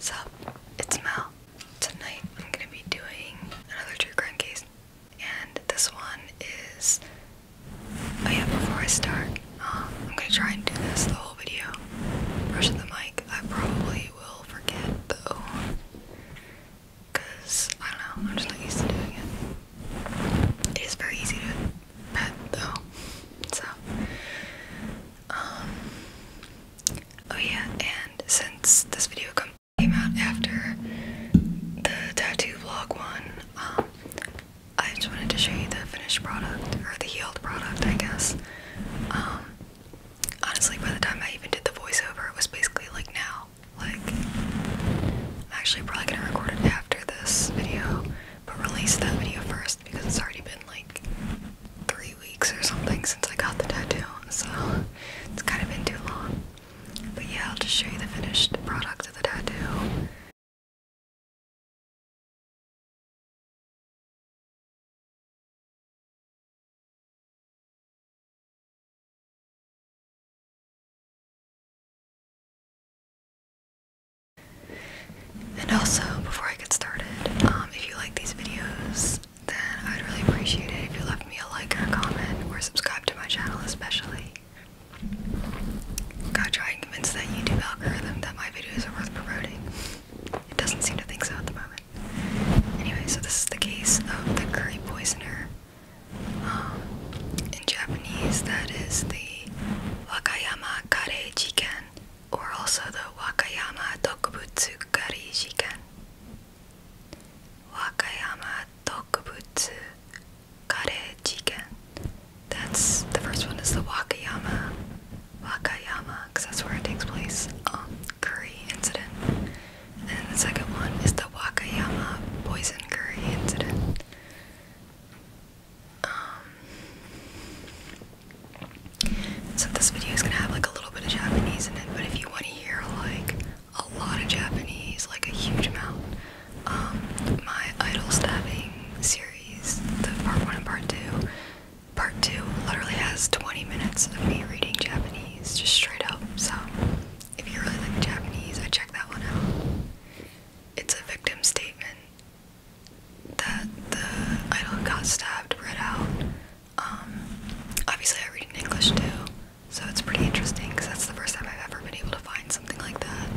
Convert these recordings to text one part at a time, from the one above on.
So, it's Mel. Tonight I'm gonna be doing another true crime case, and this one is. Oh yeah, before I start, um, I'm gonna try and do this the whole video. Brushing the mic, I probably will forget though, cause I don't know, I'm just not used to doing it. It is very easy to pet though, so um, oh yeah, and since this video came out after the tattoo vlog one, um, I just wanted to show you the finished product, or the healed product, I guess. Um, honestly, by the time I even did the voiceover, it was basically like now. Like, I'm actually probably gonna record it after this video, but release that video first because it's already been like three weeks or something since I got the tattoo, so it's kind of been too long. But yeah, I'll just show you the finished product of the tattoo. And also, before I get started, um, if you like these videos, then I'd really appreciate it if you left me a like or comment or subscribe to my channel especially. Gotta try and convince that YouTube algorithm that my videos are worth promoting. It doesn't seem to think so at the moment. Anyway, so this is the case of the curry poisoner. Um, in Japanese, that is the Wakayama Kare Chicken or also the Wakayama Tokubutsu Gari Shikan. Wakayama Tokubutsu Kare Chicken. That's the first one is the Wakayama. Wakayama, because that's where it takes place. Um, curry incident. And the second one is the Wakayama poison curry incident. Um, so this video is gonna have like a little bit of Japanese in it, but if you want to hear like a lot of Japanese, like a huge amount, um, my idol stabbing series, the part one and part two, part two literally has 20 minutes of me reading Japanese, just straight up. So if you really like Japanese, I check that one out. It's a victim statement that the idol got stabbed read out. Um, obviously, I read in English too, so it's pretty interesting because that's the first time I've ever been able to find something like that.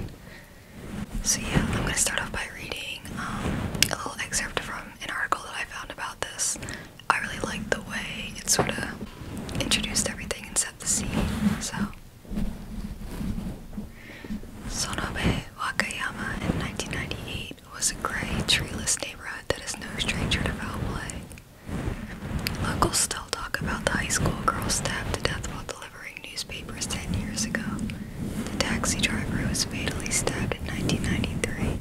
So, yeah, I'm going to start off by reading um, a little excerpt from an article that I found about this. I really liked the way it sort of introduced everything and set the scene. So, Sonobe Wakayama in 1998 was a gray, treeless neighborhood that is no stranger to foul play. Locals still talk about the high school girl stabbed to death while delivering newspapers 10 years ago, the taxi driver who was fatally stabbed in 1993,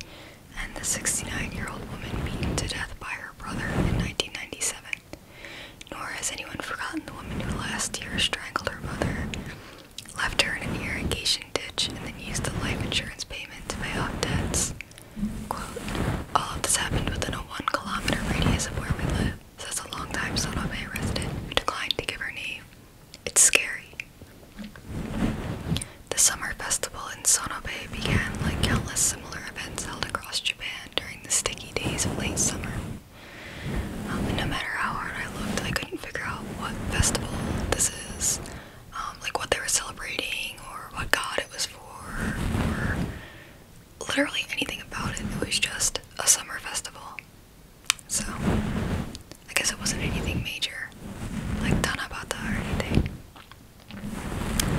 and the 69-year-old woman beaten to death by her brother in 1997. Nor has anyone forgotten the woman who last year strangled her mother left her in an irrigation ditch, and then used the life insurance payment to pay off debts. Quote, all of this happened within a one kilometer radius of where we live, says a long time, Sonobe resident who declined to give her name. It's scary. The summer festival in Sonobe began like countless similar events held across Japan during the sticky days of late summer. Um, no matter how hard I looked, I couldn't figure out what festival this is, um, like what they were celebrating or what god it was for, or literally anything about it. It was just a summer festival. So, I guess it wasn't anything major, like Tanabata or anything.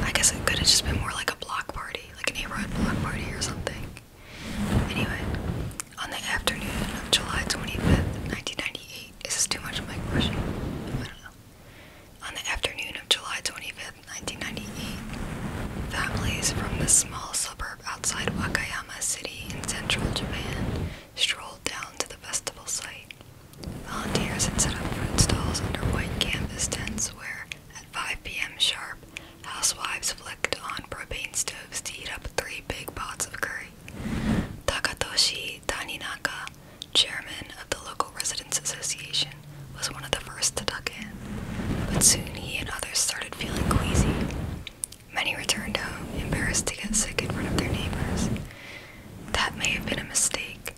I guess it could have just been more like a block party, like a neighborhood block party or something. Anyway, on the afternoon of July 25th, 1998, this is too much of my question. On the afternoon of July 25th, 1998, families from the small suburb outside Wakayama City in central Japan strolled down to the festival site. Volunteers had set up fruit stalls under white canvas tents where, at 5 p.m. sharp, housewives flicked on propane stoves to heat up three big pots of curry Takatoshi Taninaka, chairman of the local residents association, was one of the first to duck in, but soon he and others started feeling queasy. Many returned home, embarrassed to get sick in front of their neighbors. That may have been a mistake.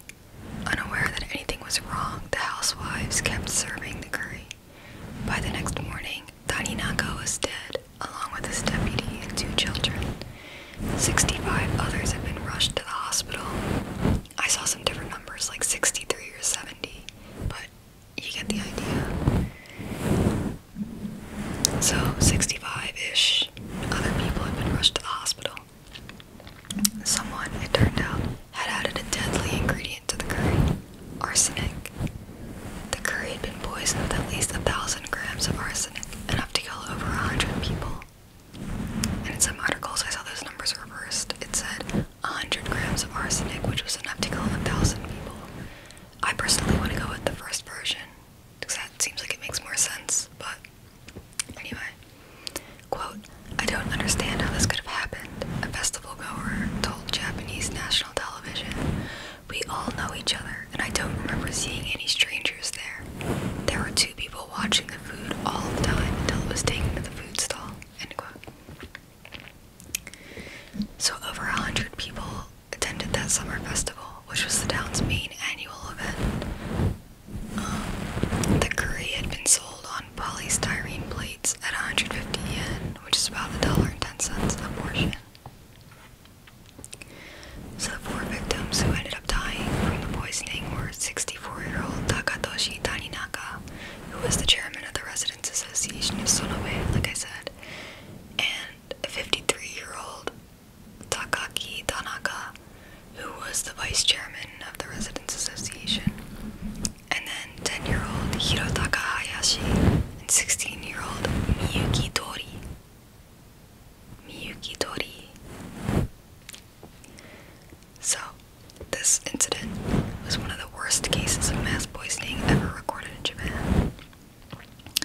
Unaware that anything was wrong, the housewives kept serving the curry. By the next morning, Taninaka was dead, along with his deputy and two children. 65 others have been rushed to the hospital. I saw some different numbers, like 63 or 70, but you get the idea. So, 65 ish other people have been rushed to the hospital. Someone, it turned out, had added a deadly ingredient to the curry arsenic. The curry had been poisoned with at least a thousand grams of arsenic, enough to kill over a hundred people. And in some articles, I saw those numbers reversed. It said 100 grams of arsenic, which was enough to kill a thousand people. I personally want to go with the first version because that seems like it makes more sense, but anyway. Quote, I don't understand how this could have happened, a festival goer told Japanese national television. We all know each other, and I don't remember seeing any strangers there. There were two people watching the food all the time until it was taken to the food stall. So over a hundred people attended that summer festival, which was the town's main annual event. Um, the curry had been sold on polystyrene plates at 150 yen, which is about a dollar and ten cents a portion. So the four victims who ended up dying from the poisoning were 64-year-old Takatoshi Taninaka, who was the chairman of the Residents Association of Sonobe, like I said, and 53-year-old Takaki Tanaka, who was the vice chairman of the Residents Association, and then 10-year-old Hirotaka Hayashi and 16-year-old Miyuki Toyo. Miyuki Tori So this incident was one of the worst cases of mass poisoning ever recorded in Japan.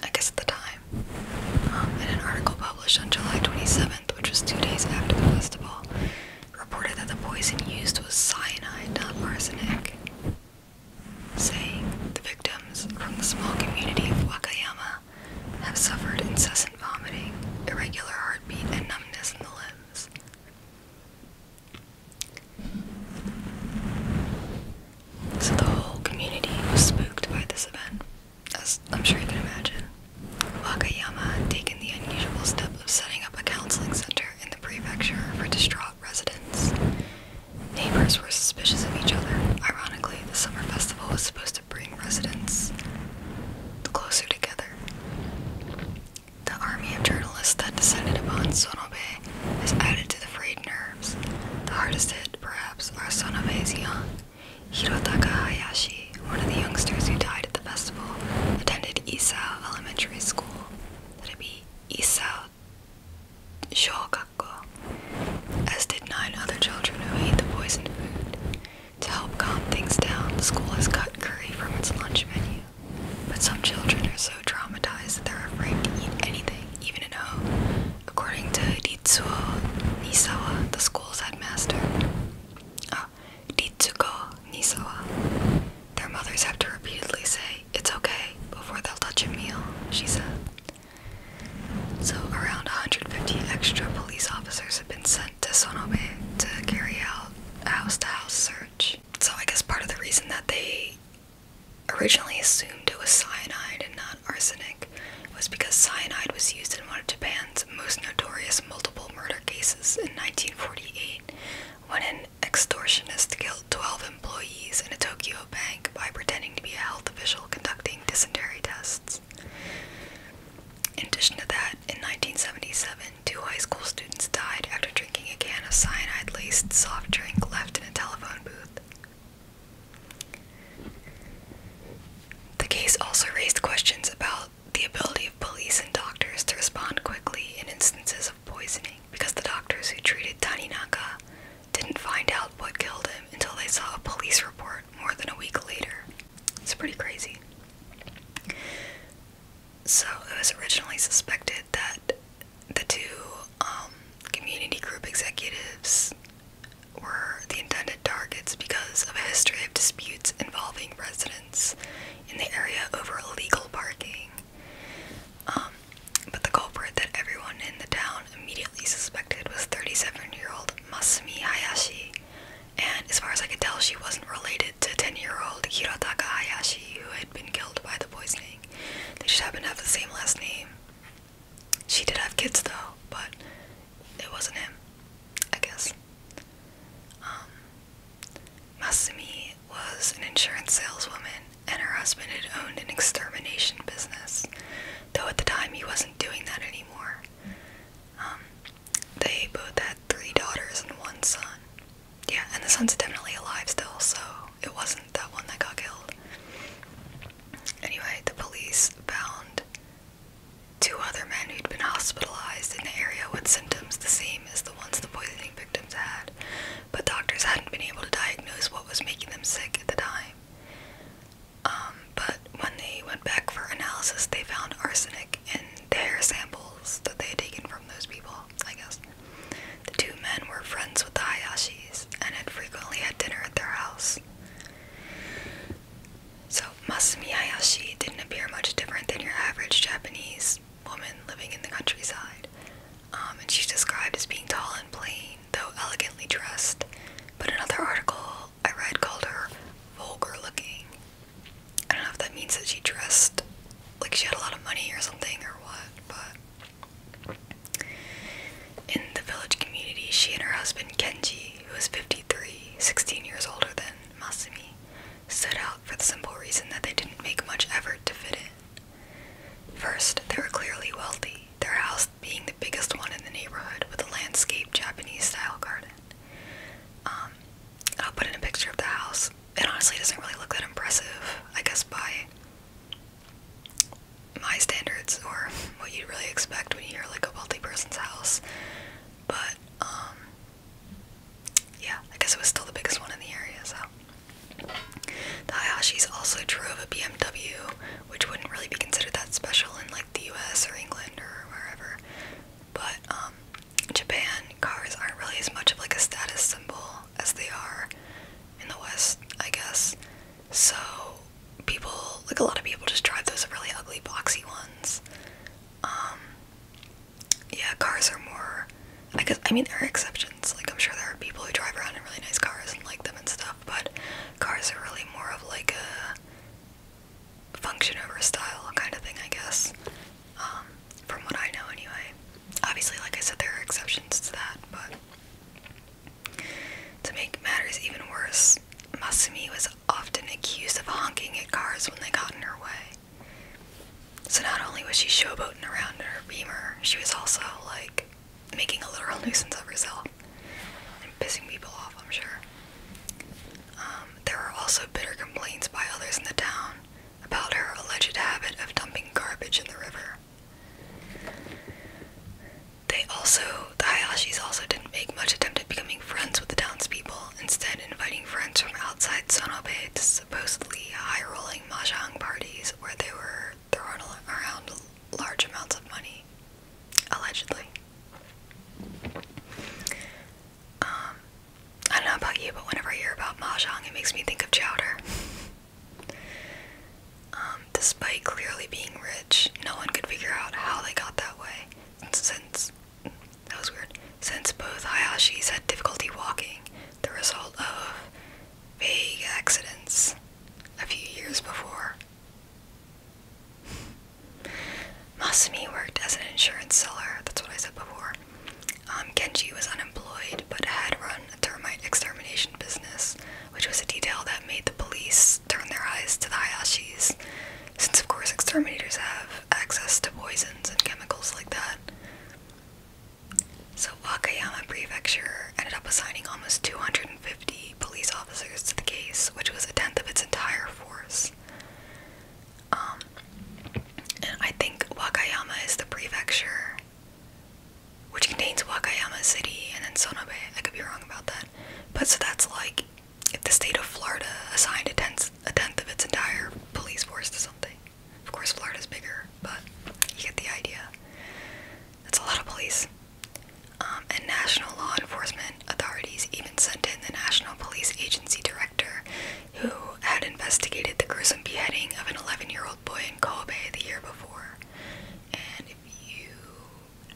I guess at the time. Um, an article published on July 27th, which was two days after the festival, reported that the poison used was cyanide, not arsenic saying the victims from the small community of Wakayama have suffered incessant vomiting, irregular heartbeat, and numbness in the limbs. So the whole community was spooked by this event, as I'm sure you can imagine. Wakayama had taken the unusual step of setting up a counseling center in the prefecture for distraught residents. Neighbors were suspicious of each other. Ironically, the summer festival was supposed to bring residents closer together. The army of journalists that descended upon Sonobe has added to the frayed nerves. The hardest hit, perhaps, are Sonobe's young. Hirotaka Hayashi, one of the youngsters who died at the festival, attended Isao Elementary School. That'd be Isao Shogakko, as did nine other children who ate the poisoned food. To help calm things down, the school has cut curry from its lunch menu. But some children are so traumatized that they're afraid to eat anything, even at home. According to Ritsuo Nisawa, the school's headmaster, oh, ah, Ritsuko Nisawa, their mothers have to repeatedly say, It's okay, before they'll touch a meal, she said. So, around 150 extra police officers have been sent to Sonobe to carry out a house to house search. So, I guess part of the reason that they originally assumed it was cyanide and not arsenic was because cyanide was used in one of Japan's most notorious multiple murder cases in 1948 when an extortionist killed 12 employees in a Tokyo bank by pretending to be a health official conducting dysentery tests. In addition to that, in 1977, two high school students died after drinking a can of cyanide laced soft drink left in a telephone booth. The case also raised questions about the ability of police and doctors to respond quickly in instances of poisoning because the doctors who treated Taninaka didn't find out what killed him until they saw a police report more than a week later. It's pretty crazy. So it was originally suspected that the two um, community group executives were the intended targets because of a history of disputes involving residents in the area over illegal parking um, but the culprit that everyone in the town immediately suspected was 37-year-old Masumi Hayashi, and as far as I could tell, she wasn't related to 10-year-old Hirotaka Hayashi, who had been killed by the poisoning. They just happened to have the same last name. She did have kids though, but it wasn't him, I guess. Um, Masumi was an insurance saleswoman and her husband had owned an extermination business, though at the time he wasn't doing that anymore. Um, they both had three daughters and one son. Yeah, and the son's definitely alive still, so it wasn't that one that got killed. Anyway, the police found two other men who'd been hospitalized in the area with symptoms the same as the ones the poisoning victims had, but doctors hadn't been able to diagnose what was making them sick at the time. Um, but when they went back for analysis, they found arsenic in hair samples that they had taken from those people, I guess. The two men were friends with the Hayashis and had frequently had dinner at their house. So, Masumi Hayashi didn't appear much different than your average Japanese woman living in the countryside. Um, and she's described as being tall and plain, though elegantly dressed. But another article I read called her vulgar looking. I don't know if that means that she dressed like she had a lot of money or something or what, but in the village community, she and her husband Kenji, who was 53, 16 years older than Masumi, stood out for the simple reason that they didn't make much effort to fit in. First, they were clearly wealthy, their house being the biggest one in the neighborhood with a landscaped Japanese style garden. Um, I'll put in a picture of the house. It honestly doesn't really look that impressive, I guess, by my standards or what you'd really expect when you hear like a wealthy person's house. But, um, yeah, I guess it was still the biggest one in the area, so. The Hayashis also drove a BMW, which wouldn't really be considered that special in like the US or England or wherever. But um Japan cars aren't really as much of like a status symbol as they are in the West, I guess. So people like a lot of people just drive those really ugly boxy ones. Um yeah, cars are more I guess I mean there are exceptions like I'm sure there are people who drive around in really nice cars and like them and stuff, but cars are really more of like a function over style kind of thing, I guess. Um, from what I know anyway. Obviously, like I said, there are exceptions to that, but to make matters even worse, Masumi was often accused of honking at cars when they got in her way. So not only was she showboating around in her beamer, she was also like making a literal nuisance of herself and pissing people off, I'm sure. Um, there were also bitter complaints by others in the town about her alleged habit of dumping garbage in the river. They also, the Hayashis also didn't make much attempt at becoming friends with the townspeople, instead inviting friends from outside Sonobe to supposedly high-rolling mahjong parties where they were thrown around large amounts of money, allegedly. Um, I don't know about you, but whenever I hear about mahjong, it makes me think of chowder. Um, despite clearly being rich, no one could figure out how they got that way. Since that was weird. Since both Hayashis had difficulty walking, the result of vague accidents a few years before. Masumi worked as an insurance seller, that's what I said before. Um, Kenji was unemployed but had run a termite extermination business, which was a detail that made the police turn their eyes to the Hayashis, since of course exterminators have access to poisons and chemicals like that. So Wakayama Prefecture ended up assigning almost 250 police officers to the case, which was a tenth of its entire force. Um, and I think Wakayama is the prefecture, which contains Wakayama City and then Sonobe. I could be wrong about that. But so that's like if the state of Florida assigned a tenth, a tenth of its entire police force to something. Of course, Florida's bigger, but you get the idea. That's a lot of police. Um, and national law enforcement authorities even sent in the National Police Agency director, who had investigated the gruesome beheading of an 11 year old boy in Kobe the year before. And if you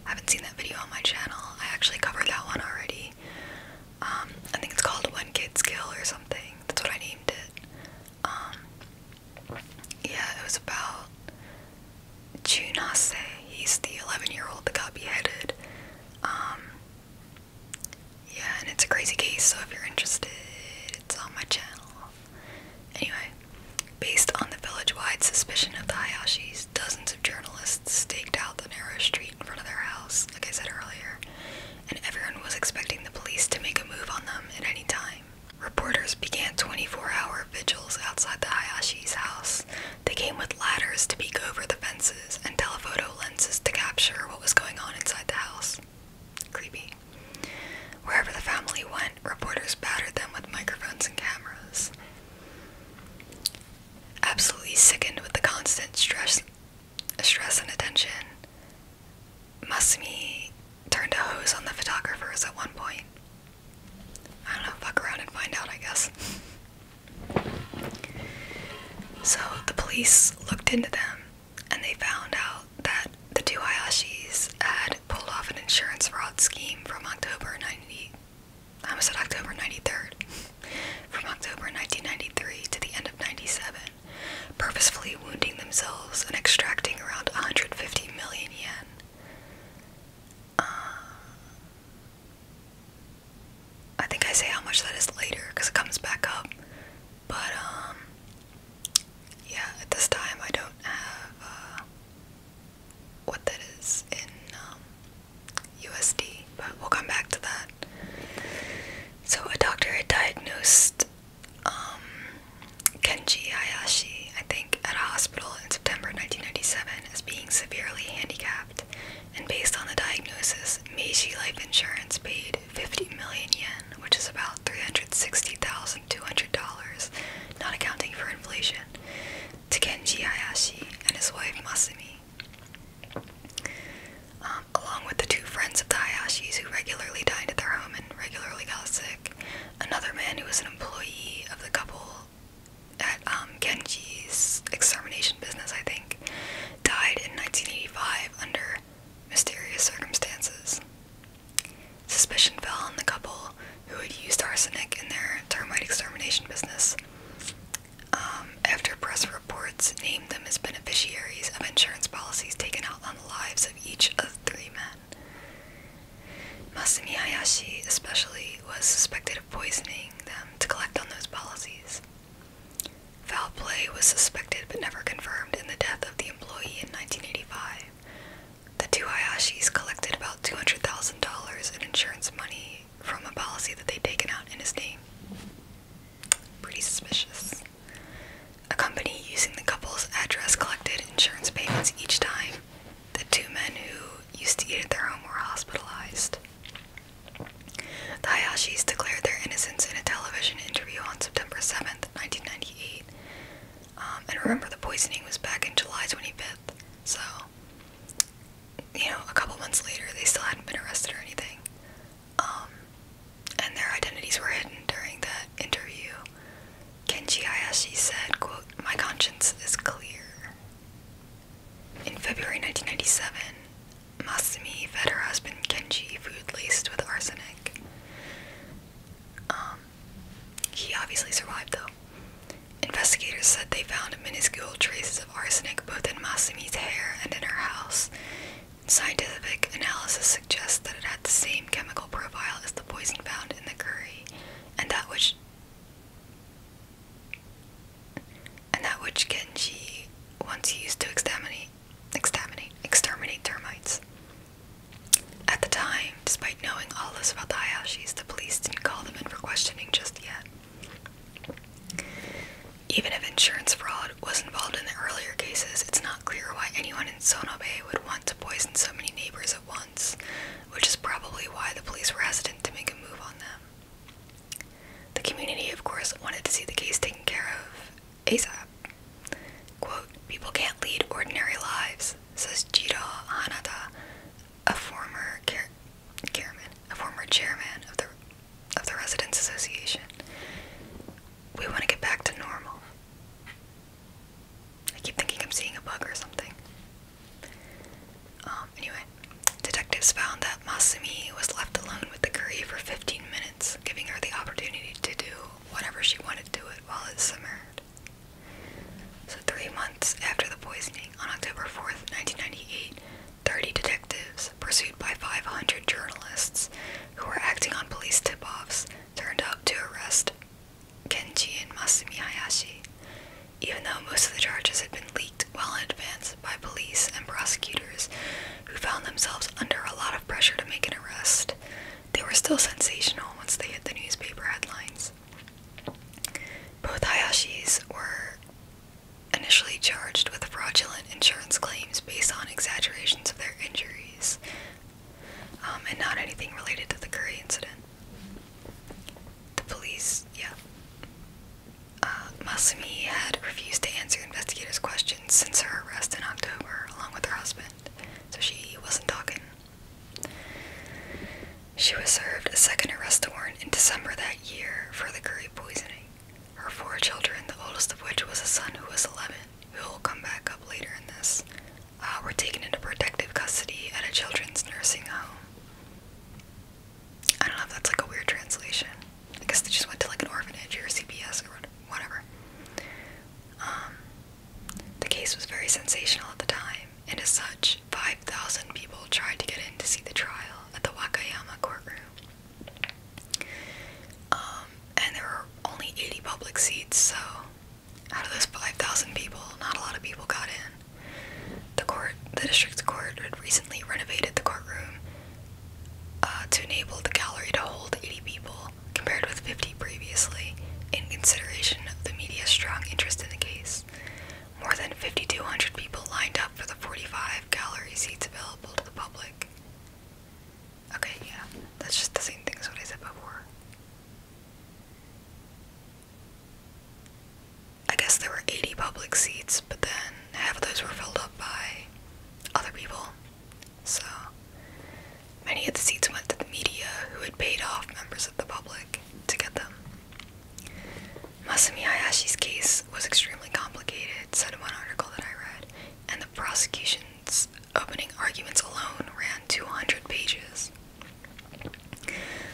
haven't seen that video on my channel, I actually covered that one already. Um, I think it's called One Kid's Kill or something. That's what I named it. Um, yeah, it was about Junase. He's the 11 year old that got beheaded. Um, yeah, and it's a crazy case, so if you're interested, it's on my channel. Anyway, based on the village wide suspicion of the Hayashis, dozens of journalists staked out the narrow street in front of their house, like I said earlier, and everyone was expecting the police to make a move on them at any time. Reporters began 24 hour vigils outside the Hayashi's house. They came with ladders to peek over the fences and telephoto lenses to capture what was going on inside the house. Creepy. Wherever the family went, reporters battered them with microphones and cameras. Absolutely sickened with the constant stress, stress and attention, Masumi turned a hose on the photographers at one point. I don't know, fuck around and find out, I guess. So the police looked into them and they found out that the two Hayashis had pulled off an insurance fraud scheme from October 90 I almost said October 93rd from October 1993 to the end of 97 purposefully wounding themselves and extracting around 150 million yen. Uh, I think I say how much that is later because it comes back up. But, um, yeah, at this time I don't have uh, what that is in USD, um, but we'll come back to that. So, a doctor had diagnosed um, Kenji Hayashi, I think, at a hospital in September 1997 as being severely handicapped, and based on the diagnosis, Meiji Life Insurance paid 50 million yen, which is about $360,200, not accounting for inflation, to Kenji Hayashi and his wife Masumi. Um, along with the two friends of the Hayashis who regularly dined at their home and regularly got sick, Another man who was an employee of the couple at um, Genji's extermination business, I think, died in 1985 under mysterious circumstances. Suspicion fell on the couple who had used arsenic in their termite extermination business. Um, after press reports named them as beneficiaries of insurance policies taken out on the lives of each of three men. Masumi Hayashi, especially, was suspected of poisoning them to collect on those policies. Foul play was suspected but never confirmed in the death of the employee in 1985. The two Hayashis collected about $200,000 in insurance money from a policy that they'd taken out in his name. Pretty suspicious. A company using the couple's address collected insurance payments each time the two men who used to eat at their home were hospitalized. The Hayashis declared their innocence in a television interview on September seventh, 1998. Um, and remember, the poisoning was back in July 25th, so, you know, a couple months later, they still hadn't been arrested or anything. Um, and their identities were hidden during that interview. Kenji Hayashi said, quote, My conscience is clear. In February 1997, Masumi fed her husband Kenji food laced with arsenic. Um, he obviously survived though. Investigators said they found minuscule traces of arsenic both in Masumi's hair and in her house. Scientific analysis suggests that it had the same chemical profile as the poison found in the curry, and that which and that which Genji once used to exterminate, exterminate, exterminate termites. At the time, despite knowing all this about the Hayashis, the police didn't call them in for questioning just yet. Even if insurance fraud was involved in the earlier cases, it's not clear why anyone in Sonobe would want to poison so many neighbors at once, which is probably why the police were hesitant to make a move on them. The community, of course, wanted to see the case taken care of ASAP. Quote, people can't lead ordinary lives, says Jiro Hanada, a former Chairman, a former chairman of the of the Residents Association. We want to get back to normal. I keep thinking I'm seeing a bug or something. Um, anyway, detectives found that Masumi was left alone with the curry for 15 minutes, giving her the opportunity to do whatever she wanted to it while it simmered. So, three months after the poisoning, on October 4th, 1998, 30 detectives, pursued by 500 journalists who were acting on police tip offs, turned up to arrest Kenji and Masumi Hayashi, even though most of the charges had been leaked well in advance by police and prosecutors who found themselves under a lot of pressure to make an arrest. They were still sensational once they hit the newspaper headlines. Both Hayashis were initially charged with fraudulent insurance claims based on exaggerations of their injuries, um, and not anything related to the Curry incident. The police, yeah. Uh, Masumi had refused to answer investigators' questions since her arrest in October, along with her husband, so she wasn't talking. She was served a second arrest warrant in December that year for the curry poisoning. Her four children, the oldest of which was a son who was 11, who will come back up later in this, uh, were taken into protective custody at a children's nursing home. I don't know if that's like a weird translation. I guess they just went to like an orphanage or CPS or whatever. Um, the case was very sensational at the time, and as such, 5,000 people tried to get in to see the trial at the Wakayama courtroom. Um, and there were only 80 public seats, so out of those 5,000 people, not a lot of people got in. The court, the district court, had recently renovated the courtroom uh, to enable the gallery to hold 80 people, compared with 50 previously, in consideration of the media's strong interest in the case. More than 5,200 people lined up for the 45 gallery seats available to the public. Okay, yeah, that's just the same thing as what I said before. I guess there were 80 public seats, but then half of those were filled up by other people. So many of the seats went to the media who had paid off members of the public to get them. Masami Hayashi's case was extremely complicated, said one article that I read, and the prosecution's opening arguments alone ran 200 pages.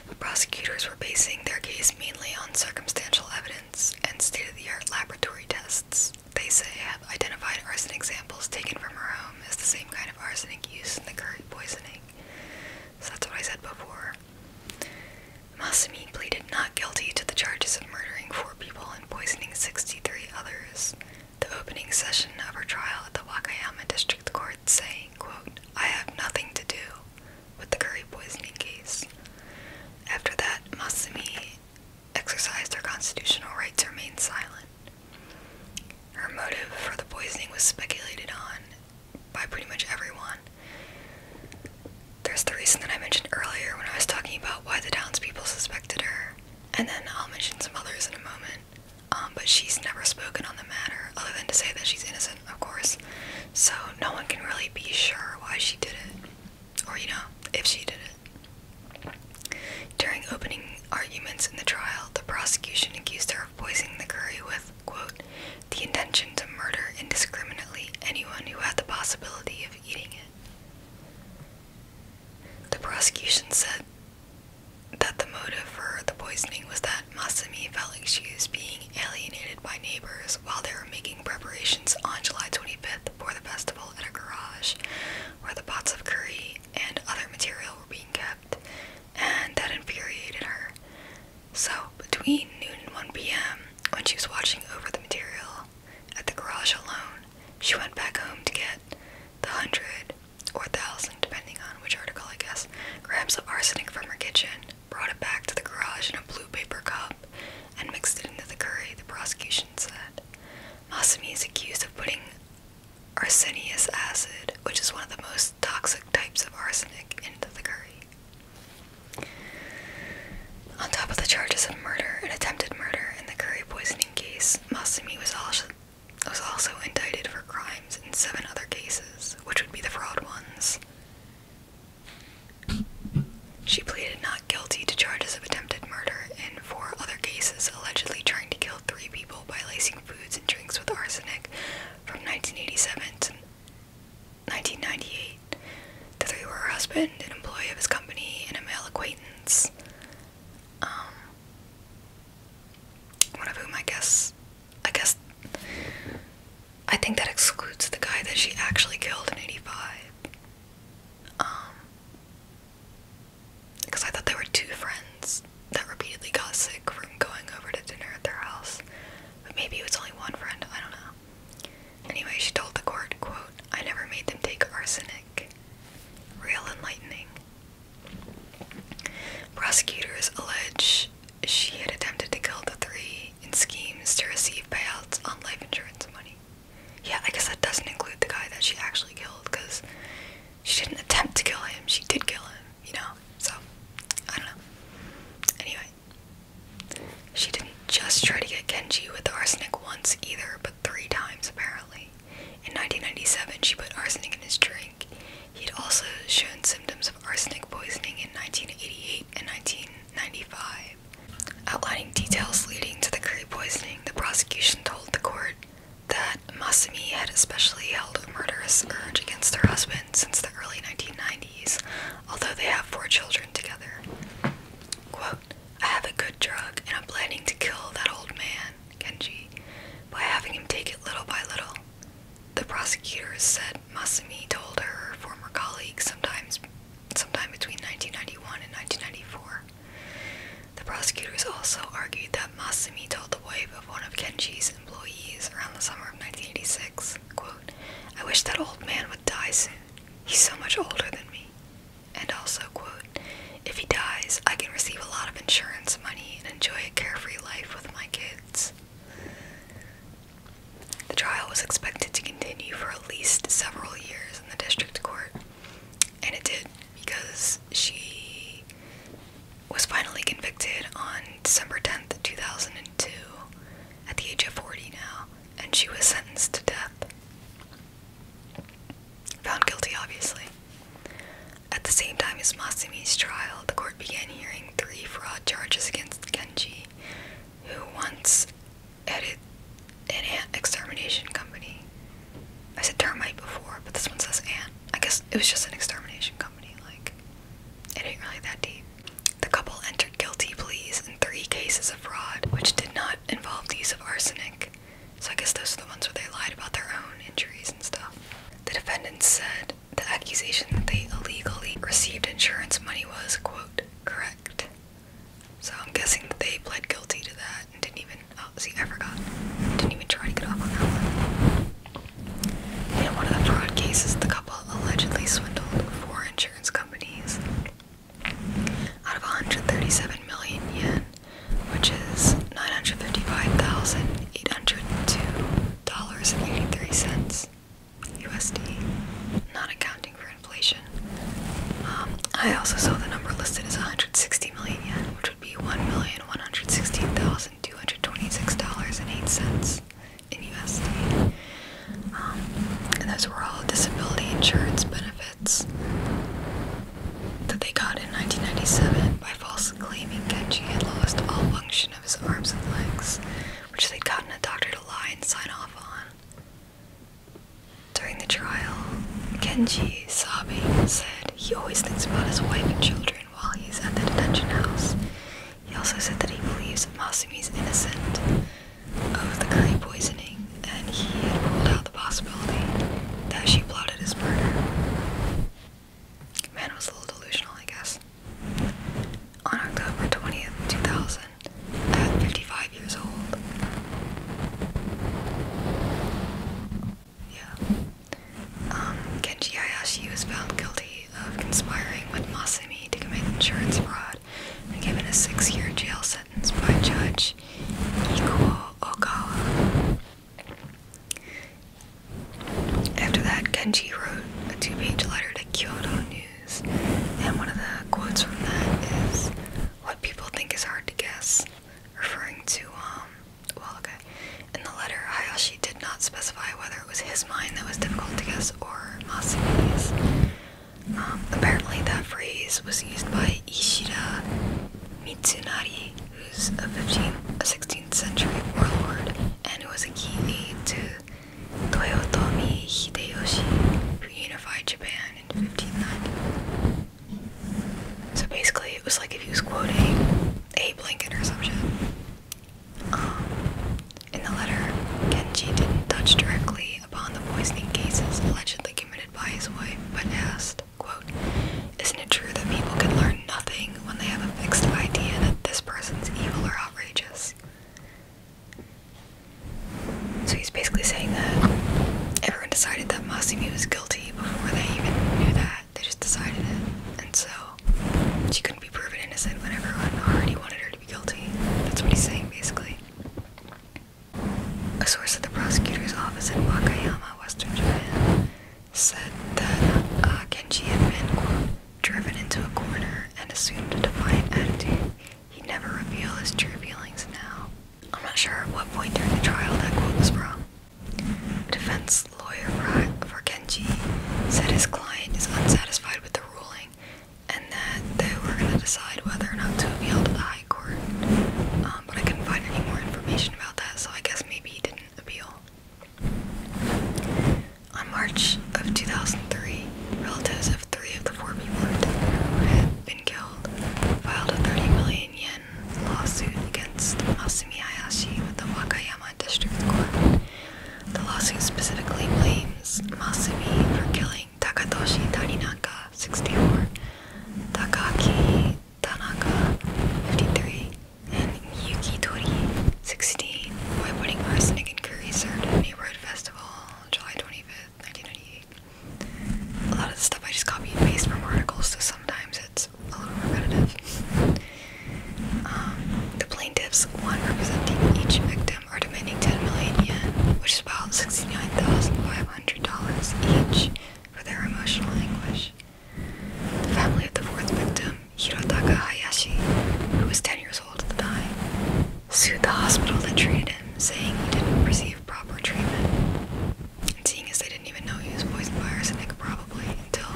The prosecutors were basing their case mainly on circumstantial evidence and state of the art laboratory tests. They say have identified arsenic samples taken from her home as the same kind of arsenic used in the curry poisoning. So that's what I said before. Masumi pleaded not guilty to the charges of murdering four people and poisoning 63 others the opening session of her trial at the Wakayama District Court saying, quote, I have nothing to do with the curry poisoning case. After that, Masumi exercised her constitutional rights to remain silent. Her motive for the poisoning was speculated on by pretty much everyone. There's the reason that I mentioned earlier when I was talking about why the townspeople suspected her, and then I'll mention some others in a moment. Um, but she's never spoken on the matter other than to say that she's innocent, of course. So no one can really be sure why she did it, or you know, if she did it. During opening arguments in the trial, the prosecution accused her of poisoning the curry with, quote, the intention to murder indiscriminately anyone who had the possibility of eating it. The prosecution said that the motive for the poisoning was that Masumi felt like she was being alienated by neighbors while they were making preparations on July 25th for the festival at a garage where the pots of curry and other material were being kept, and that infuriated her. So, between noon and 1 p.m., when she was watching over the material at the garage alone, she went back home to get the hundred or thousand, depending on which article, I guess, grams of arsenic from her kitchen, brought it back to the garage in a blue paper cup, and mixed it into the curry, the prosecution said. Masumi is accused of putting arsenious acid, which is one of the most toxic types of arsenic, into the curry. On top of the charges of murder and attempted murder in the curry poisoning case, Masumi was also was also indicted for crimes in seven other cases, which would be the fraud ones. She pleaded not guilty to charges of attempted murder in four other cases, allegedly trying to kill three people by lacing foods and drinks with arsenic from 1987 to 1998. The three were her husband, an employee of his company, and a male acquaintance. Um, one of whom I guess I guess I think that excludes the guy that she actually killed in 85. because um, I thought there were two friends that repeatedly got sick from going over to dinner at their house. But maybe it was only one friend, I don't know. Anyway, she told the court, quote, I never made them take arsenic. Real enlightening. Prosecutors allege she had attempted to kill the three in schemes to receive payouts on life insurance money. Yeah, I guess that doesn't include the guy that she actually killed because she didn't attempt to kill him, she did kill him, you know? So, I don't know. Anyway, she didn't just try to get Kenji with arsenic once either, but three times apparently. In 1997, she put arsenic in his drink. He had also shown symptoms of arsenic poisoning in 1988 and 1995. Outlining details leading to the curry poisoning, the prosecution told the court that Masumi had especially held a murderous urge against her husband since the early 1990s, although they have four children together. Quote, I have a good drug and I'm planning to kill that old man on by having him take it little by little. The prosecutors said Masumi told her former colleague sometimes sometime between 1991 and 1994. The prosecutors also argued that Masumi told the wife of one of Kenji's employees around the summer of 1986, quote, I wish that old man would die soon. He's so much older than me and also, quote, if he dies, I can receive a lot of insurance money and enjoy a carefree life with my kids. The trial was expected to continue for at least several years in the district court, and it did because she was finally convicted on December 10th, 2002, at the age of 40 now, and she was sentenced to death. Found guilty, obviously. At the same time as Masumi's trial, the court began hearing three fraud charges against Genji, who once headed an ant extermination company. I said termite before, but this one says ant. I guess it was just an extermination company, like, it ain't really that deep. The couple entered guilty pleas in three cases of fraud, which did not involve the use of arsenic. So I guess those are the ones where they lied about their own injuries and stuff. The defendants said the accusation that they illegally received insurance money was, quote, correct. So I'm guessing that they pled guilty to that and didn't even, oh, see, I forgot. Didn't even try to get off on that one. In one of the fraud cases, the couple allegedly swindled four insurance companies out of 137 million yen which is nine hundred fifty-five thousand eight hundred two dollars and eighty-three cents USD, not accounting for inflation. Um, I also saw the number listed as one hundred sixty million yen, which would be one million one hundred sixteen thousand two hundred twenty-six dollars and eight cents in USD. Um, and those were all disability insurance benefits that they got in 1997 by falsely claiming Kenji had lost all function of his arms and legs, which they'd gotten a doctor to lie and sign off on. During the trial, Kenji, sobbing, said he always thinks about his wife and children while he's at the detention house. He also said that he believes Masumi is innocent of the curry poisoning, and he had pulled out the possibility that she plotted his murder. Man was a little delusional, I guess. On October 20th, 2000, at 55 years old, yeah, um, Kenji Hayashi was found guilty of conspiring with Masami to commit insurance fraud and given a six-year jail sentence by Judge Ikuo Okawa. After that, Genji wrote a two page letter to Kyoto News, and one of the quotes from that is What people think is hard to guess, referring to, um, well, okay. In the letter, Hayashi did not specify whether it was his mind that was difficult to guess or Masumi's. Um, apparently, that phrase was used by Ishida Mitsunari who's a 15th, a 16th century warlord and was a key aide to Toyotomi Hideyoshi, who unified Japan in 1590. So basically, it was like if he was quoting Abe Lincoln or some um, in the letter, Genji didn't touch directly upon the poisoning cases allegedly committed by his wife, but asked Quote, isn't it true that people can learn nothing when they have a fixed idea that this person's evil or outrageous? So he's basically saying that everyone decided that Masumi was guilty before they even knew that. They just decided it. And so she couldn't be proven innocent when everyone already wanted her to be guilty. That's what he's saying, basically. A source at the prosecutor's office in Wakayama, western Japan, said that uh, Kenji had been, driven into a corner and assumed a defiant attitude. he never revealed his true feelings now. I'm not sure at what point during the trial that quote was from. Defense lawyer for Kenji said his client is unsatisfied with the ruling and that they were going to decide whether or not to appeal to the court, um, but I couldn't find any more information about that, so I guess maybe he didn't appeal. On March of 2003, relatives of three of the four people who had been killed filed a 30 million yen lawsuit against Masumi Hayashi with the Wakayama District Court. The lawsuit specifically blames Masumi for killing Takatoshi Taninaka, 64, Takaki Tanaka, 53, and Yuki Tori, 16, by putting arsenic and curry served at a neighborhood festival July 25th, 1998. A lot of the stuff I just copy and paste from articles, so sometimes it's a little repetitive. Um, the plaintiffs, one representing each victim, are demanding 10 million yen, which is about $69,500 each, for their emotional anguish. The family of the fourth victim, Hirotaka Hayashi, who was 10 years old at the time, sued the hospital that treated him, saying he didn't receive proper treatment. And seeing as they didn't even know he was poisoned by arsenic, probably, until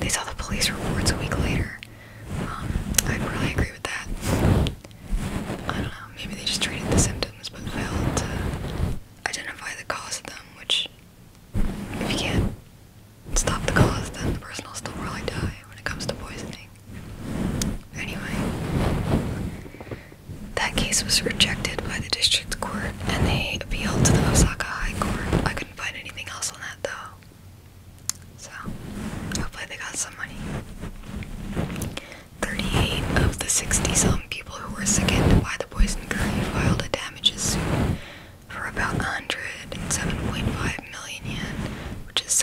they saw the police reports a week later. Um, I'd really agree with that. I don't know, maybe they just treated the symptoms but failed to identify the cause of them, which if you can't stop the cause, then the person will still probably die when it comes to poisoning. Anyway, that case was rejected by the district court and they appealed to the Osaka High Court. I couldn't find anything else on that though. So, hopefully they got some money. 38 of the 60 people who were sickened the boys and Curry filed a damages suit for about 107.5 million yen, which is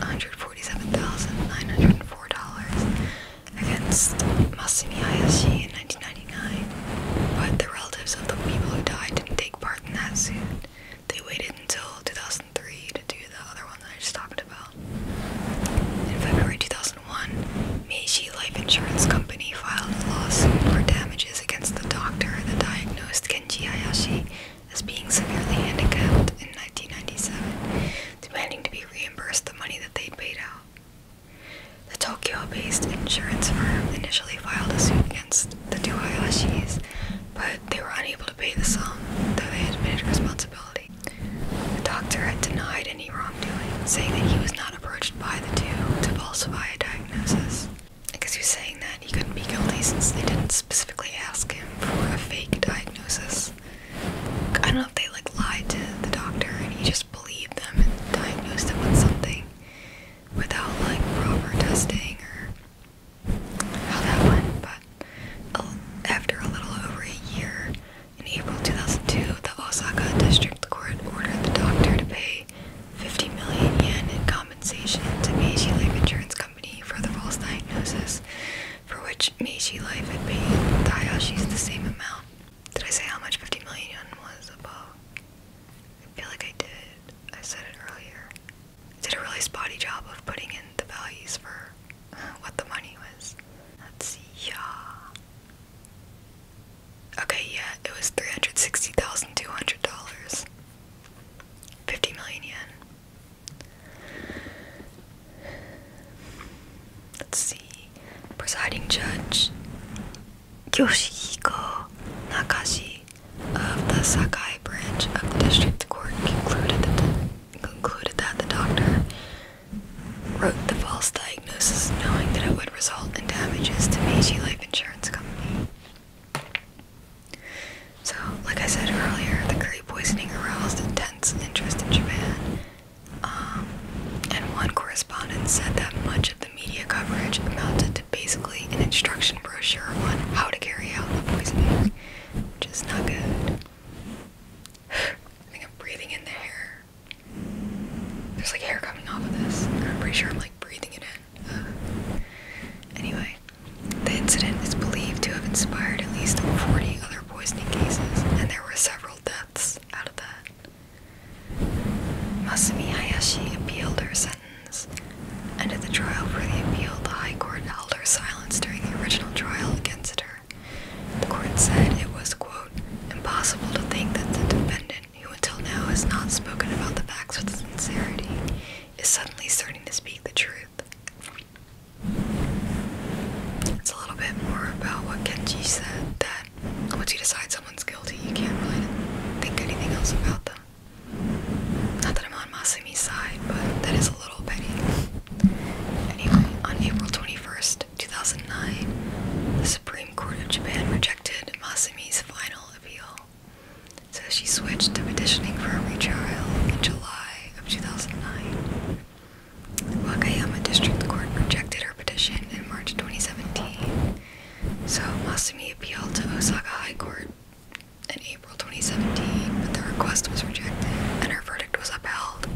$747,904 against Masumi Hayashi in 1999. But the relatives of the people who died didn't take part in that suit. They waited until 2003 to do the other one that I just talked about. In February 2003, one Meiji Life Insurance Company filed a lawsuit for damages against the doctor that diagnosed Kenji Hayashi as being severely handicapped in 1997, demanding to be reimbursed the money that they paid out. The Tokyo-based insurance firm initially filed a suit against the two Hayashis, but they were unable to pay the sum, though they admitted responsibility. The doctor had denied any wrongdoing, saying that he was not approached by the two to falsify a diagnosis. Because he was saying that he couldn't be guilty since they didn't specifically ask him for a fake diagnosis. I don't know if they like lied to the doctor and he just believed them and diagnosed him with something without like proper testing or how that went. But uh, after a little over a year, in April 2002, the Osaka District Court ordered the doctor to pay 50 million yen in compensation to Meiji Life Insurance Company for the false diagnosis, for which Meiji Life had paid Tayashi's the same amount. Did I say how much 50 million yen was above? I feel like I did. I said it earlier. did a really spotty job of putting in the values for what the money was. Let's see. Yeah. Okay, yeah, it was three hundred sixty thousand two hundred dollars. Fifty million yen. Let's see. Presiding judge Yoshihiko Nakashi of the Sakai branch of the district court concluded that the doctor wrote the false diagnosis knowing that it would result in damages to Meiji Life Insurance Company. So, like I said earlier, the curry poisoning aroused intense interest in Japan. Um, and one correspondent said that much of the media coverage amounted to basically an instruction brochure on how to carry out the poisoning, which is not good. I think I'm breathing in the air. There's like hair coming off of this. I'm pretty sure I'm like breathing it in. anyway, the incident is believed to have inspired at least 40 other poisoning cases, and there were several deaths out of that. Masumi Hayashi appealed her sentence, and at the trial for the appeal, the High Court held her silence during the original trial against her. The court said it was, quote, impossible to think that the defendant, who until now has not spoken about the facts with sincerity, is suddenly starting to speak the truth. It's a little bit more about what Kenji said that once you decide someone's guilty, you can't really think anything else about them. Not that I'm on Masumi's side, but that is a little petty. Anyway, on April 21st, 2009, the Supreme Court of Japan rejected Masumi's final appeal, so she switched to petitioning for a retrial in July of 2009. Wakayama District Court rejected her petition in March 2017, so Masumi appealed to Osaka High Court in April 2017, but the request was rejected and her verdict was upheld.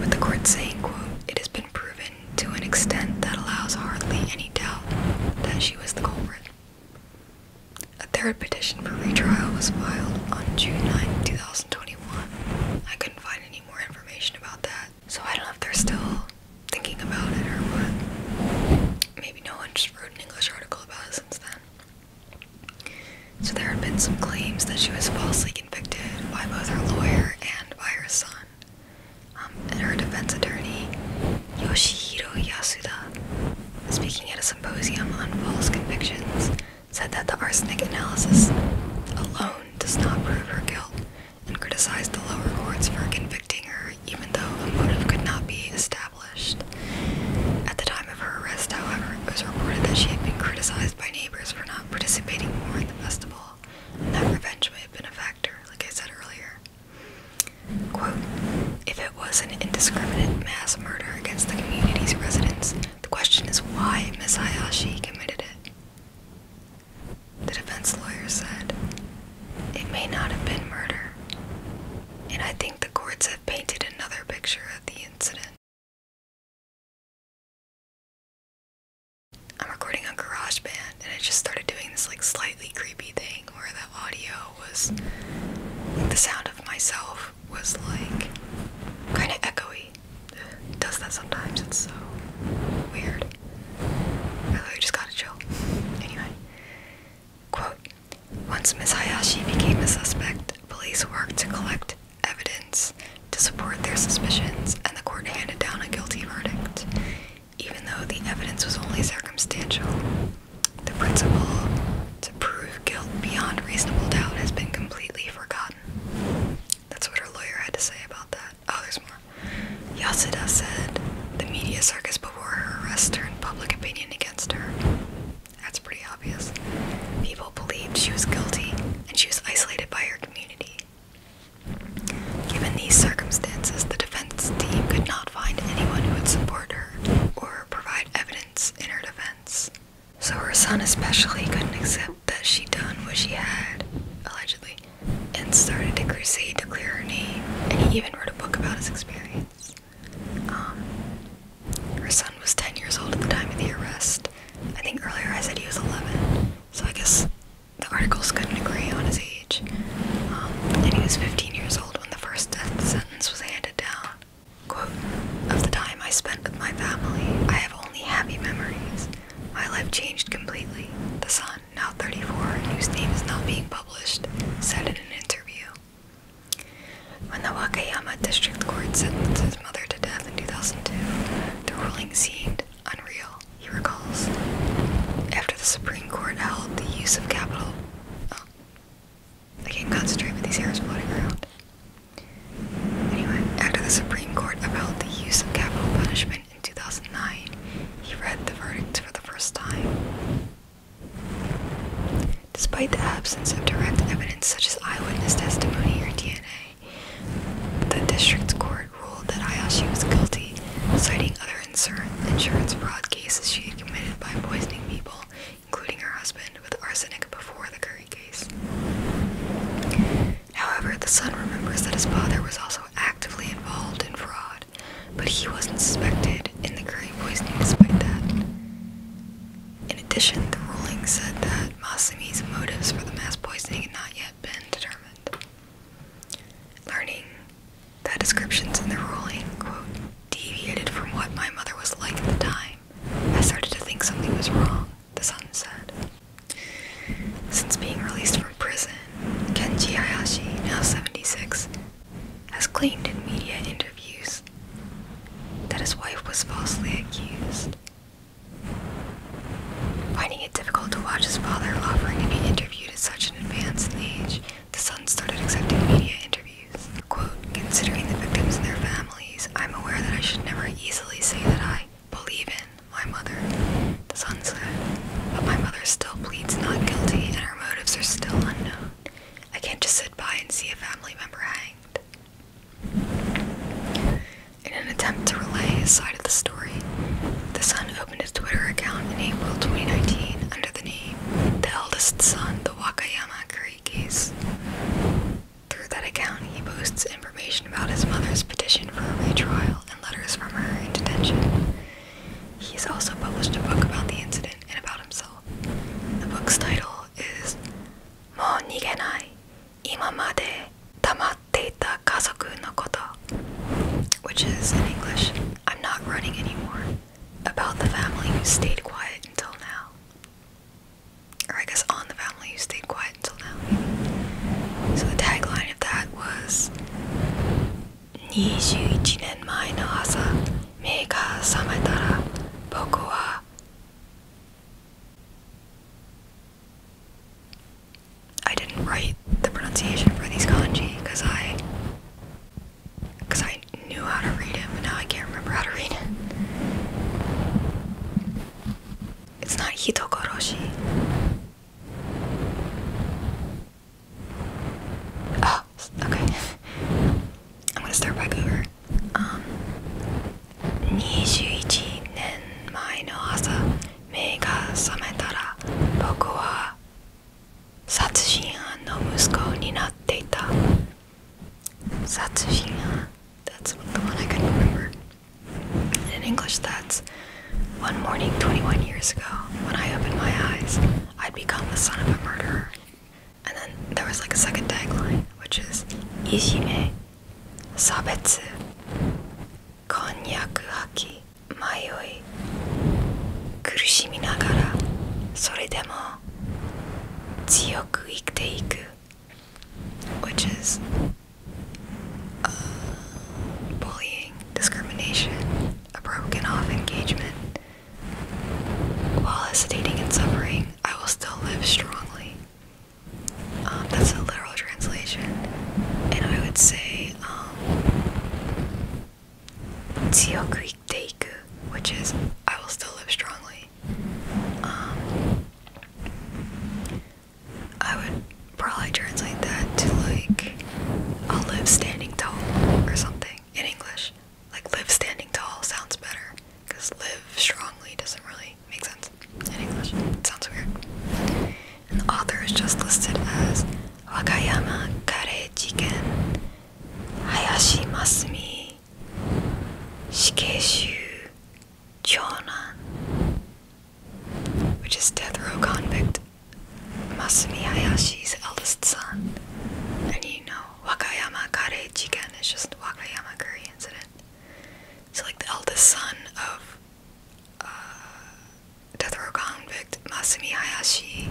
With the court saying, quote, it has been proven to an extent that allows hardly any doubt that she was the culprit. A third petition for retrial was filed on June 9, 2021. I couldn't find any more information about that, so I don't know if they're still thinking about it or what. Maybe no one just wrote an English article about it since then. So there had been some claims that she was falsely convicted by both her lawyer and by her son. Um, and her defense attorney, Yoshihiro Yasuda, speaking at a symposium on false convictions, said that the arsenic analysis alone does not prove her guilt and criticized the lower courts for convicting her even though a motive could not be established. At the time of her arrest, however, it was reported that she had been criticized criticized by neighbors for not participating more in the festival, and that revenge may have been a factor, like I said earlier. Quote, if it was an indiscriminate mass murder against the community's residents, the question is why Ms. committed it. The defense lawyer said, It may not have been murder, and I think the courts have painted another picture of the incident. I'm recording on GarageBand and I just started doing this like slightly creepy thing where the audio was the sound of myself was like kind of echoey. does that sometimes, it's so weird. I literally just gotta chill. Anyway. Quote Once Miss became a suspect, police worked to collect evidence to support their suspicions, and the court handed down a guilty verdict. Even though the evidence was only circumstantial, the principle to prove guilt beyond reasonable doubt has been completely forgotten. That's what her lawyer had to say about that. Oh, there's more. Yasuda said the media circus before her arrest turned public opinion against her. That's pretty obvious. People believed she was guilty and she was isolated by her community. Given these circumstances, the defense team could not find anyone who would support her or provide evidence in her defense. So her son especially couldn't accept that she'd done what she had, allegedly, and started a crusade to clear her name, and he even wrote a book about his experience. Um, her son was 10 years old at the time of the arrest, I think earlier I said he was 11, so I guess the articles couldn't agree on his age. Um, and he was 15 years old when the first death sentence was handed down. Quote, of the time I spent with my family, I have only happy memories. My life changed completely. The son, now 34, whose name is not being published, said in an interview. When the Wakayama District Court sentenced his mother to death in 2002, the ruling seemed unreal, he recalls. After the Supreme Court held the use of capital. Oh. I can't concentrate with these hairs floating around. Anyway, after the Supreme Court upheld the use of capital punishment in 2009, he read the verdict for the first time. Despite the absence of direct evidence such as eyewitness testimony or DNA, the district court ruled that Ayashi was guilty, citing other insurance fraud cases she had committed by poisoning people, including her husband, with arsenic before the Curry case. However, the son remembers that his father was also actively involved in fraud, but he wasn't suspected in the Curry poisoning despite that. In addition, the ruling said that Masami's motives for the mass poisoning had not yet been determined. Learning that descriptions in the ruling, deviated from what my mother was like at the time, I started to think something was wrong, the son said. Since being released from prison, Kenji Hayashi, now 76, has claimed in media interviews that his wife was falsely accused Finding it difficult to watch his father offering to be interviewed at such an advanced age, the son started accepting media interviews. Quote, considering the victims and their families, I'm aware that I should never easily say that I believe in my mother, the son said, but my mother still pleads not guilty and her motives are still unknown. I can't just sit by and see a family member hanged. In an attempt to relay his side of the story, The son opened his Twitter account in April 2019 under the name The Eldest Son, the Wakayama Curry Through that account, he posts information about his mother's petition for a retrial and letters from her in detention. He's also published a book about the incident and about himself. The book's title is Mo Nigenai, 今までたまっていた家族のこと which is in English I'm not running anymore about the family who stayed quiet until now or I guess on the family who stayed quiet until now so the tagline of that was 21年前の朝目が覚めたら僕は I didn't write the pronunciation for these kanji because I because I knew how to read it, but now I can't remember how to read it. It's not hitokoroshi. Oh, okay. I'm gonna start by Google. あ the one I can remember In English that's One morning 21 years ago When I opened my eyes I'd become the son of a murderer And then there was like a second tagline Which is Ishime 差別婚約破棄迷い苦しみながらそれでも強く生きていく which is uh, bullying, discrimination, a broken off engagement. While hesitating and suffering, I will still live strongly. Um, that's a literal translation. And I would say, um, teiku, which is, I will still live strongly. Um, I would probably translate that to like, I'll live standing tall or something in English. Like, live standing tall sounds better because live strongly doesn't really makes sense in English. It sounds weird. And the author is just listed as Wakayama Kareijiken Hayashi Masumi Shikeshu Chonan, which is death row convict Masumi Hayashi's eldest son. And you know, Wakayama Kareijiken is just Wakayama curry incident. So, like, the eldest son of uh, death row convict Masumi Hayashi,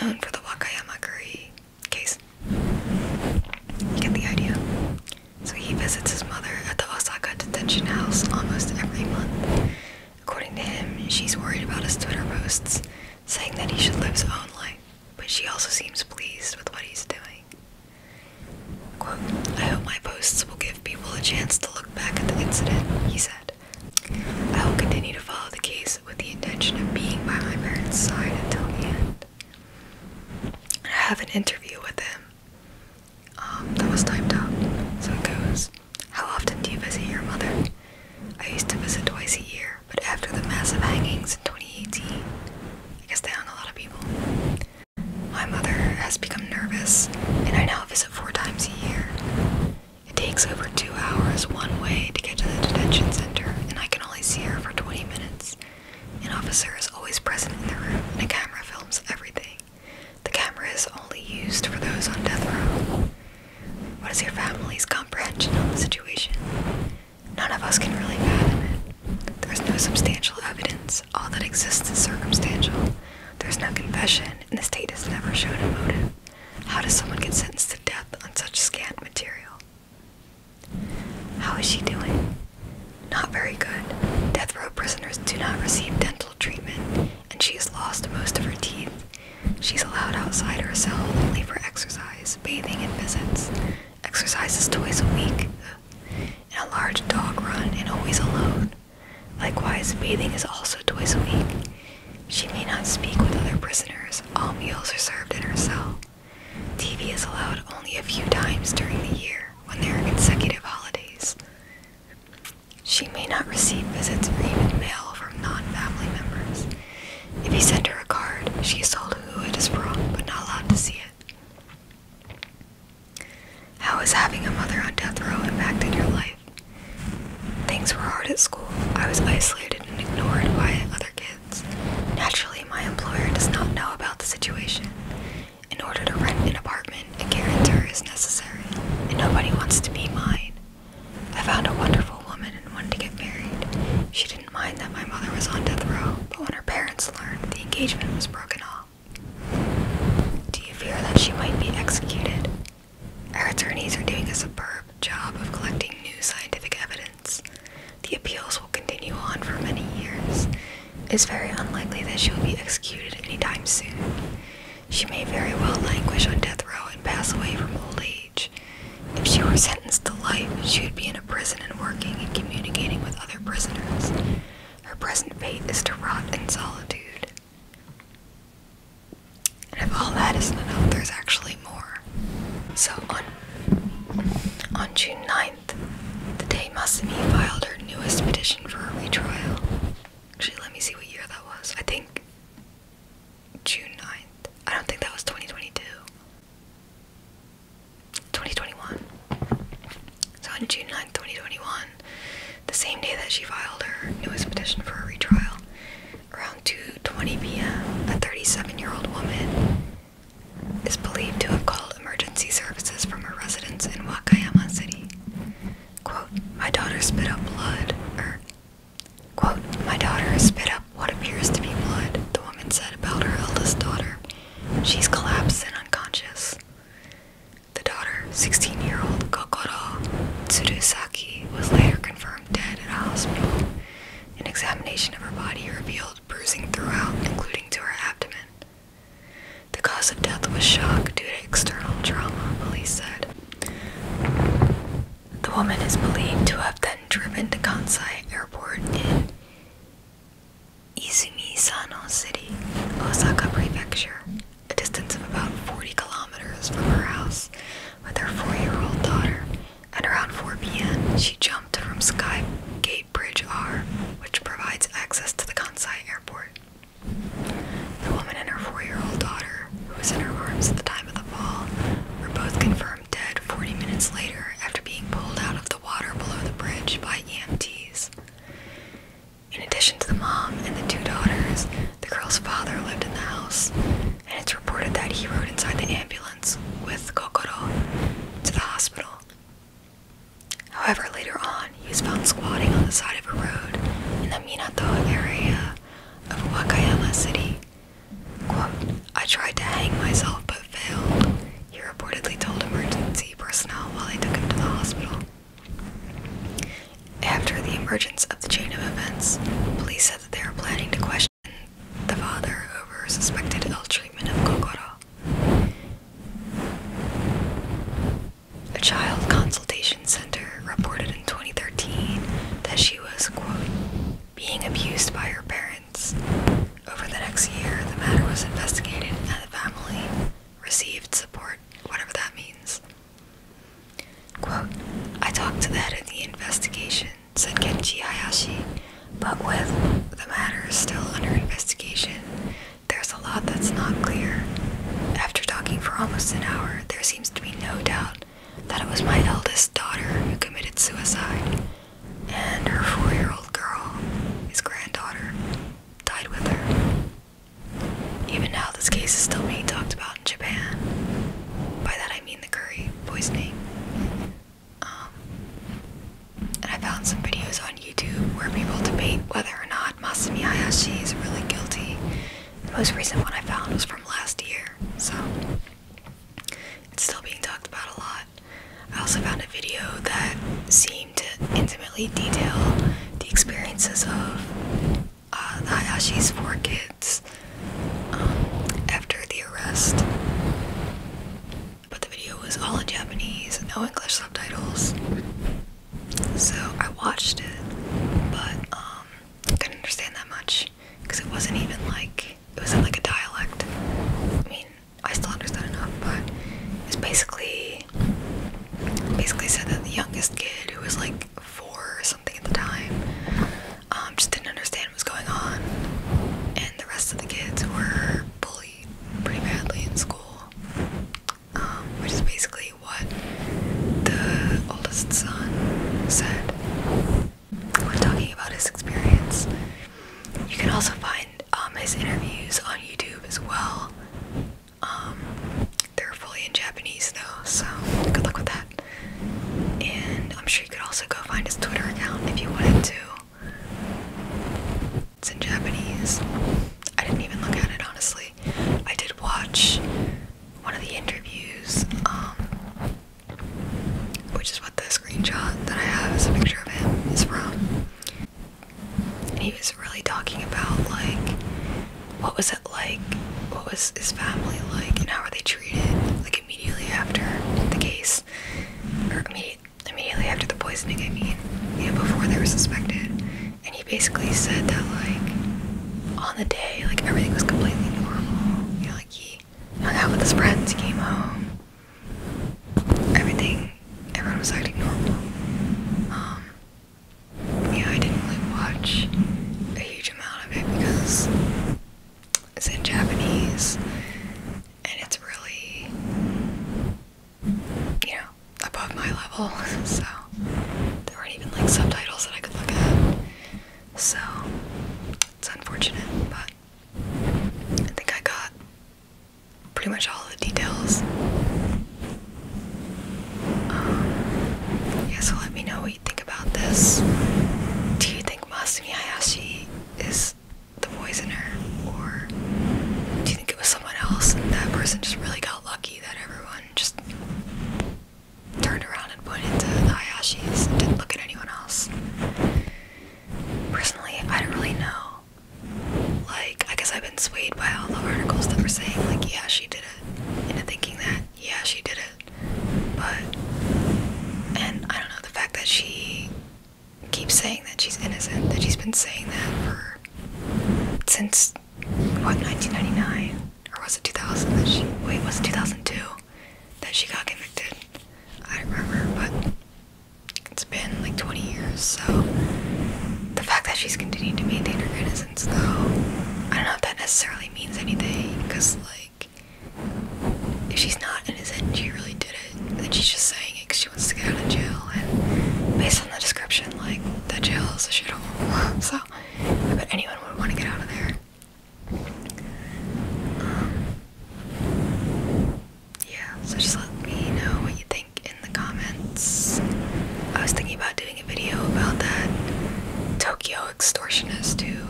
known for the Wakayama curry case. You get the idea. So, he visits his mother at the Osaka detention house almost every month. According to him, she's worried about his Twitter posts, saying that he should live his own life, but she also seems pleased with what he's doing. I hope my posts will give people a chance to look back at the incident, he said. I will continue to follow the case with the intention of being by my parents' side until the end. I have an interview with him. Um, that was timed out. So it goes, How often do you visit your mother? I used to visit twice a year, but after the massive hangings in 2018, I guess they hung a lot of people. My mother has become nervous, and I now visit four times a year. It takes over two hours one way to get to the detention center, and I can only see her for 20 minutes. An officer is always present in the room, and a camera films everything. The camera is only used for those on death row. What is your family's comprehension of the situation? None of us can really fathom it. There is no substantial evidence. All that exists is circumstantial. There is no confession, and the state has never shown a motive. How does someone get sentenced to death on such scant material? How is she doing? Not very good. Death row prisoners do not receive dental treatment, and she has lost most of her teeth. She's allowed outside her cell only for exercise, bathing, and visits. Exercise is twice a week, in a large dog run and always alone. Likewise, bathing is also twice a week. She may not speak with other prisoners. All meals are served in her cell. TV is allowed only a few times during the year when there are consecutive holidays. She may not receive visits or even mail from non-family members. If you send her a card, she is told who it is from but not allowed to see it. How has having a mother on death row impacted your life? Things were hard at school. I was isolated and ignored by other kids. Naturally, my employer does not know about the situation. In order to rent an apartment, a guarantor is necessary, and nobody wants to be mine. I found a wonderful woman and wanted to get married. She did did mind that my mother was on death row, but when her parents learned, the engagement was broken off. Do you fear that she might be executed? Our attorneys are doing a superb job of collecting new scientific evidence. The appeals will continue on for many years. It's very unlikely that she will be executed anytime soon. She may very well languish on death row and pass away from old age. If she were sentenced to life, she would be in a prison and working and communicating with other prisoners. Her present fate is to rot in solitude. And if all that isn't enough, there's actually more. So on on June 9th, the day Masumi filed her newest petition for a retrial. Actually, let me see what year that was. I think June 9th. I don't think that was 2022. 2021. So on June 9th, 2021, the same day that she filed her newest petition for a retrial, around 2:20 p.m., a 37-year-old woman is believed to have called emergency services from her residence in Wakayama City. Quote, my daughter spit up blood, or, quote, my daughter has spit up what appears to be blood, the woman said about her eldest daughter, She's collapsed and unconscious. The daughter, 16 year old Kokoro Tsurusaki, was later confirmed dead at a hospital. An examination of her body revealed bruising throughout, including to her abdomen. The cause of death was shock due to external trauma, police said. The woman is believed to have then driven to Kansai Airport Izumi-Sano City, Osaka Prefecture, a distance of about 40 kilometers from her house with her four-year-old daughter. At around 4 p.m., she jumped from Sky Gate Bridge R, which provides access to the Kansai airport. The woman and her four-year-old daughter, who was in her arms at the time of the fall, were both confirmed dead 40 minutes later after being pulled out of the the water below the bridge by EMTs. In addition to the mom and the two daughters, the girl's father lived in the house, and it's reported that he rode inside the ambulance with Kokoro to the hospital. However, later on, he was found squatting on the side of a road in the Minato area of Wakayama City. Quote, I tried to hang myself but failed, he reportedly told emergency personnel while they took him to the hospital. After the emergence of the chain of events, police said that they were planning to question the father over suspected ill treatment of Kokoro. A child consultation center reported in 2013 that she was, quote, being abused by her parents. Over the next year, the matter was investigated and the family received support, whatever that means. Quote, I talked to the head of the investigation, said Kenji Hayashi, but with the matter still under investigation, there's a lot that's not clear. After talking for almost an hour, there seems to be no doubt that it was my eldest daughter who committed suicide and her four-year-old girl, his granddaughter, died with her. Even now, this case is still being talked about in Japan. By that I mean the curry poisoning. Um, and I found some videos on YouTube where people debate whether or not Masumi Hayashi is really guilty. The most recent one I found was from last year, so it's still being talked about a lot. I also found a video that seemed to intimately detail the experiences of uh, the Hayashi's four kids um, after the arrest. But the video was all in Japanese, no English subtitles. So I watched it, but um, couldn't understand that much because it wasn't even like it wasn't like a dialect. I mean, I still understand enough, but it's basically basically said that the youngest kid who was like four or something at the time um, just didn't understand what was going on, and the rest of the kids were bullied pretty badly in school, um, which is basically what the oldest son said. We're talking about his experience. You can also find um, his interviews on YouTube as well. Um, they're fully in Japanese though, so good luck with that. And I'm sure you could also go find his Twitter account if you wanted to. It's in Japanese. I didn't even look at it honestly. I did watch one of the interviews, um, which is what this screenshot that I have is a picture of him is from. And he was really talking about like what was it like, what was his family like, and how were they treated like immediately after the case, or immediate, immediately after the poisoning. I mean, and before they were suspected. And he basically said that like on the day, like everything was completely normal. You know, like he he hung out with his friends, he came home. Everything, everyone was acting normal. Um, yeah, I didn't really watch a huge amount of it because it's in Japanese and it's really, you know, above my level, so there weren't even like subtitles that I could look at. So it's unfortunate, but I think I got pretty much all the details. Um, let me know what you think about this. Do you think Masumi Hayashi is the poisoner, or do you think it was someone else and that person just really got lucky that everyone just turned around and pointed to the Hayashis and didn't look at anyone else? personally, I don't really know. Like, I guess I've been swayed by all the articles that were saying, like, yeah, she did it. Into thinking that, yeah, she did it. But, and I don't know, the fact that she keeps saying that she's innocent, that she's been saying that for since what 1999 or was it 2000 that she wait was it 2002 that she got convicted i don't remember but it's been like 20 years, so the fact that she's continuing to maintain her innocence, though, I don't know if that necessarily means anything, because, like, if she's not innocent, she really did it, and she's just saying it because she wants to get out of jail, and based on the description, like, the jail is a shithole, so I bet anyone would want to get out of there. Um, yeah, so just let me know what you think in the comments. I was thinking about doing a video about that Tokyo extortionist who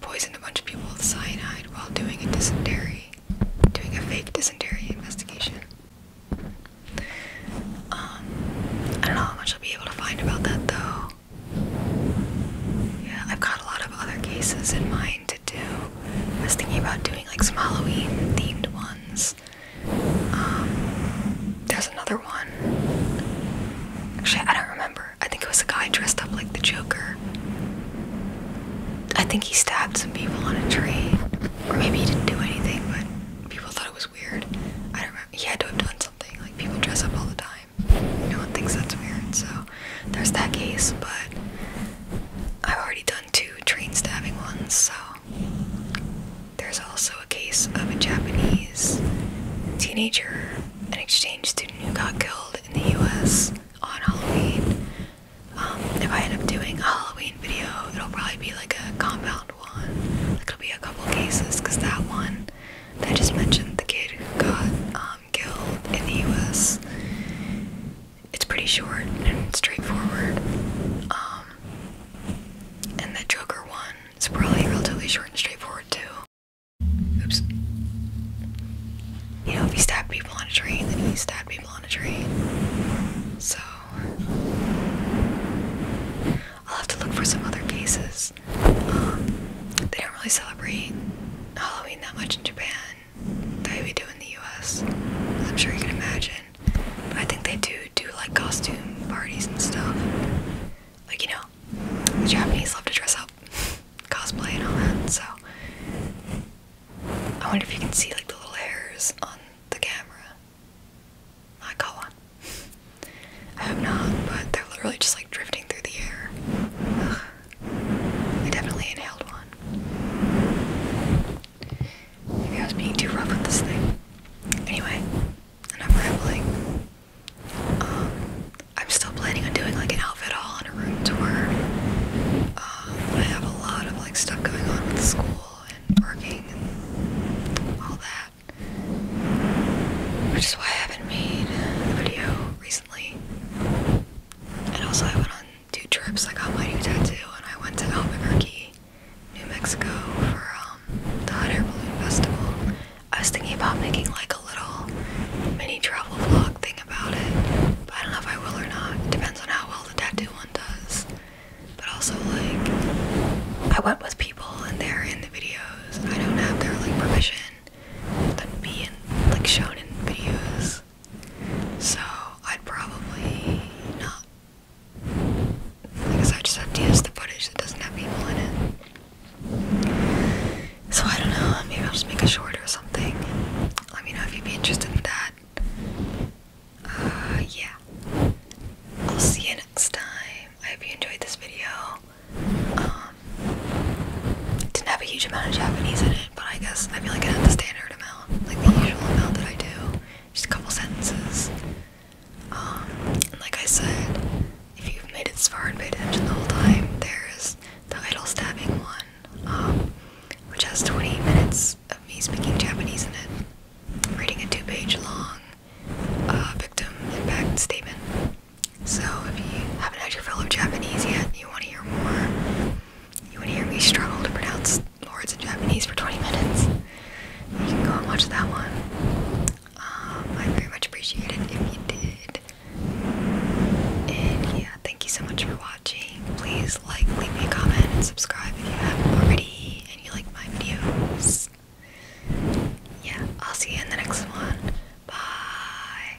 poisoned a bunch of people with cyanide while doing a dysentery, doing a fake dysentery investigation. Um, I don't know how much I'll be able to find about that though. Yeah, I've got a lot of other cases in mind do. I was thinking about doing like some Halloween themed ones. Um, there's another one. Actually, I don't remember. I think it was a guy dressed up like the Joker. I think he stabbed some people on a tree. Or maybe he didn't do anything, but people thought it was weird. I don't remember. He had to have done something. Like, people dress up all the time. No one thinks that's weird, so there's that case, but I've already done two train stabbing ones, so there's also a case of a Japanese teenager, an exchange student who got killed in the US on Halloween. Um, if I end up doing a Halloween video, it'll probably be like a compound one. Like it'll be a couple cases, because that one that I just mentioned, the kid who got um, guild in the US. It's pretty short and straightforward. Um, and the Joker one is probably relatively short and straightforward too. Oops. You know, if he stabbed people on a train, then he stabbed people on a train. So, I'll have to look for some other cases. Um, they don't really celebrate Halloween that much in Japan that do in the US, I'm sure you can imagine. I think they do do like costume parties and stuff. Like, you know, the Japanese love to dress up, cosplay, and all that. So, I wonder if you can see like the little hairs on the camera. I got one. I hope not, but they're literally just like drifting through the air. I definitely inhaled one. Maybe I was being too rough with this thing. Anyway, enough rambling. Um, I'm still planning on doing like an outfit haul and a room tour. Um, I have a lot of like stuff going on with school and working and all that. Which is why I haven't made a video recently. And also I went on do trips I got my new tattoo and I went to Albuquerque, New Mexico for um, the Hot Air Balloon Festival. I was thinking about making like a little mini travel vlog thing about it, but I don't know if I will or not. Depends on how well the tattoo one does. But also like I went with people and they're in the videos. I don't have their like permission that be in like shown in videos. So I'd probably not. I guess I just have to use the footage that doesn't have people in it. So I don't know, maybe I'll just make a short or something. Let me know if you'd be interested in that. Uh, yeah. I'll see you next time. I hope you enjoyed this video. Um, didn't have a huge amount of Japanese in it. But I guess I feel like I have the standard amount, like the usual amount that I do. Just a couple sentences. and um, like I said, if you've made it this far and paid attention the whole time, there's the idol stabbing one, um, which has 20 minutes of me speaking Japanese in it, reading a two page long uh, victim impact statement. So if you haven't had your fill of Japanese yet you want to hear more, you want to hear me struggle to pronounce words in Japanese for 20 minutes. You can go and watch that one. Um, I very much appreciate it if you did. And yeah, thank you so much for watching. Please like, leave me a comment, and subscribe if you haven't already and you like my videos. Yeah, I'll see you in the next one. Bye.